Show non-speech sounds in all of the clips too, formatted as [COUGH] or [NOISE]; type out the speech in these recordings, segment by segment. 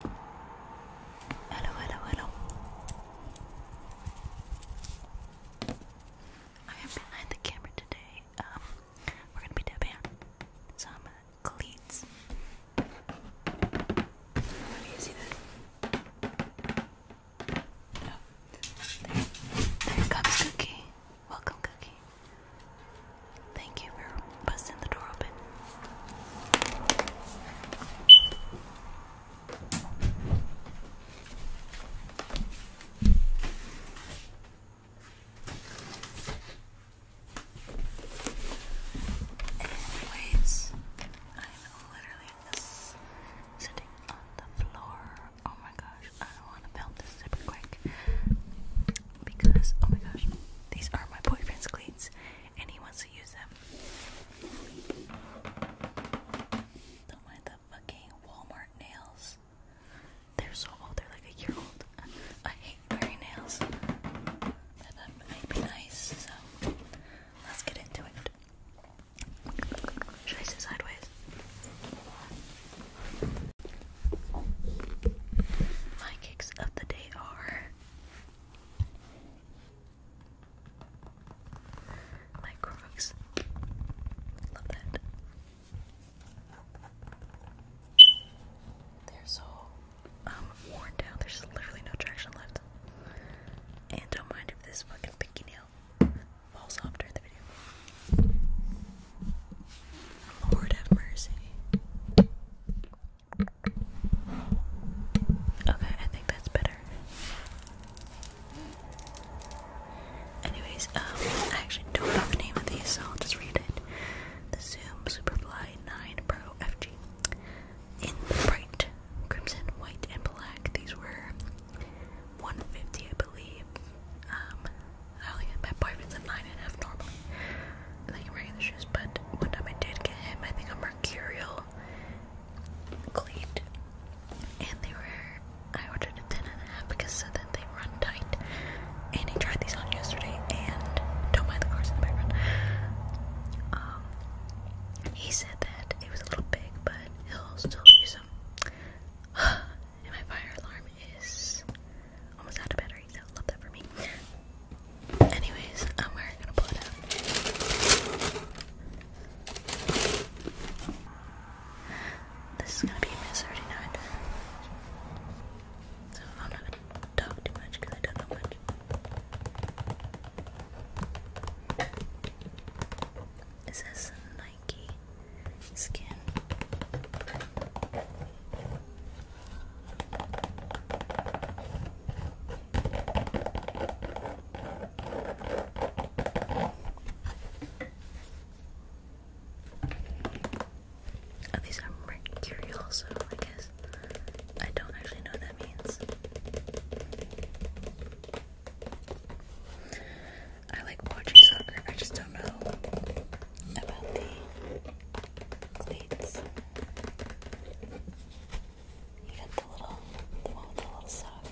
Hello, hello, hello. I am behind the camera today. Um, we're gonna be dabbing some cleats. How you see that? Oh, there comes Cookie. Welcome, Cookie. Thank you for busting the door open. Anyways, I'm literally sitting on the floor. Oh my gosh, I don't want to film this super quick because oh my gosh, these are my boyfriend's cleats and he wants to use them. Don't mind the fucking Walmart nails. They're so old, they're like a year old. I hate wearing nails. But that might be nice, so let's get into it. Should I sit sideways? My kicks of the day are my Crocs. Love that. They're so um, worn down. There's literally no traction left. And don't mind if this fucking pinky nail falls off during Lord have mercy. Okay, I think that's better. Anyways, um, I actually don't know the name of these, so I'll read it. The Zoom Superfly 9 Pro FG. In bright crimson, white, and black, these were 150, I believe. Um, I only get my boyfriend's at nine and a half normally. I like regular shoes, but one time I did get him, I think a mercurial cleat. And they were I ordered a ten and a half because so that they run tight. And he tried these on yesterday and don't mind the cars in the background. Um he said that it was a little big, but he'll still use them. [SIGHS] And my fire alarm is almost out of battery, so love that for me. Anyways, um, we're gonna pull it out. This is gonna be my 39. So I'm not gonna talk too much because I don't know much. It says 9 these are mercury also, I guess. I don't actually know what that means. I like watching soccer. I just don't know about the cleats. You got the little, the one with the little sock.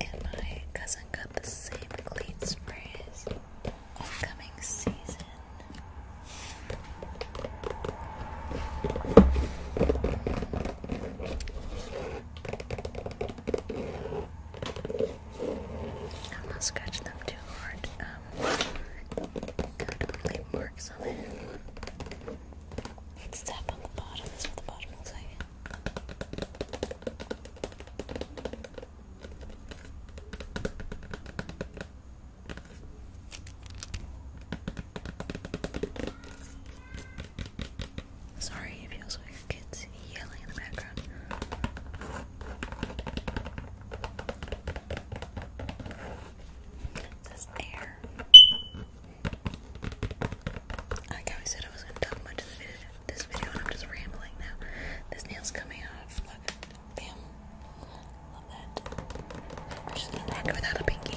And my cousin got the same cleats for his upcoming season. I'm not scratching them too hard. Um, definitely marks on it. tap on the bottom. That's what the bottom looks like. Sorry if you also hear kids yelling in the background. It air. Like I said, I was going to talk much of this video, and I'm just rambling now. This nail's coming off. Look, Love that. I just need without a pinky.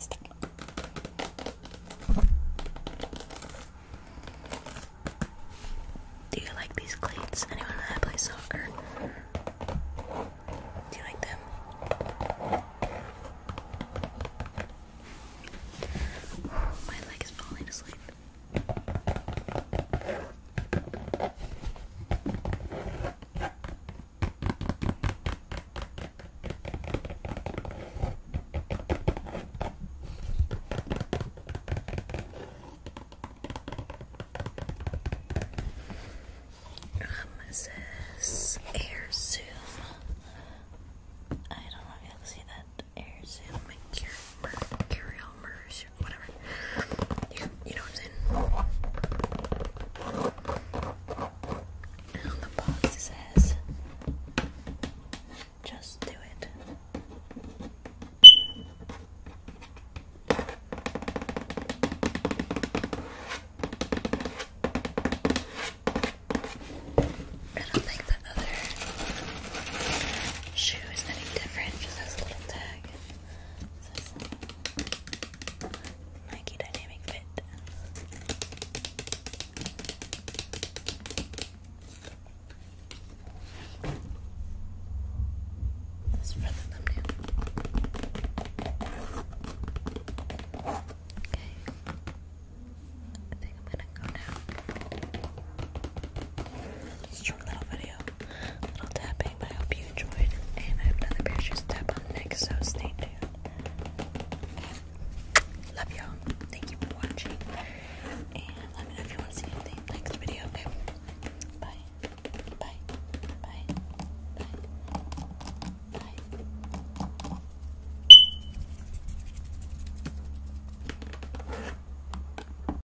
Stick. Do you like these cleats? Anyone that plays soccer? Do you like them? My leg is falling asleep. Um, air zoom? I don't know if you'll see that air zoom mercurial merge, whatever you know what I'm saying? the box says, just do it. I don't think the other shoe is any different, just has a little tag. Nike Dynamic Fit. This for the thumbnail. Okay. I think I'm gonna go now. Short little video little tapping, but I hope you enjoyed. And I have another pair tap on next, so stay tuned. Love y'all. Thank you for watching. And let me know if you want to see anything next video. Okay. Bye. Bye. Bye. Bye. Bye.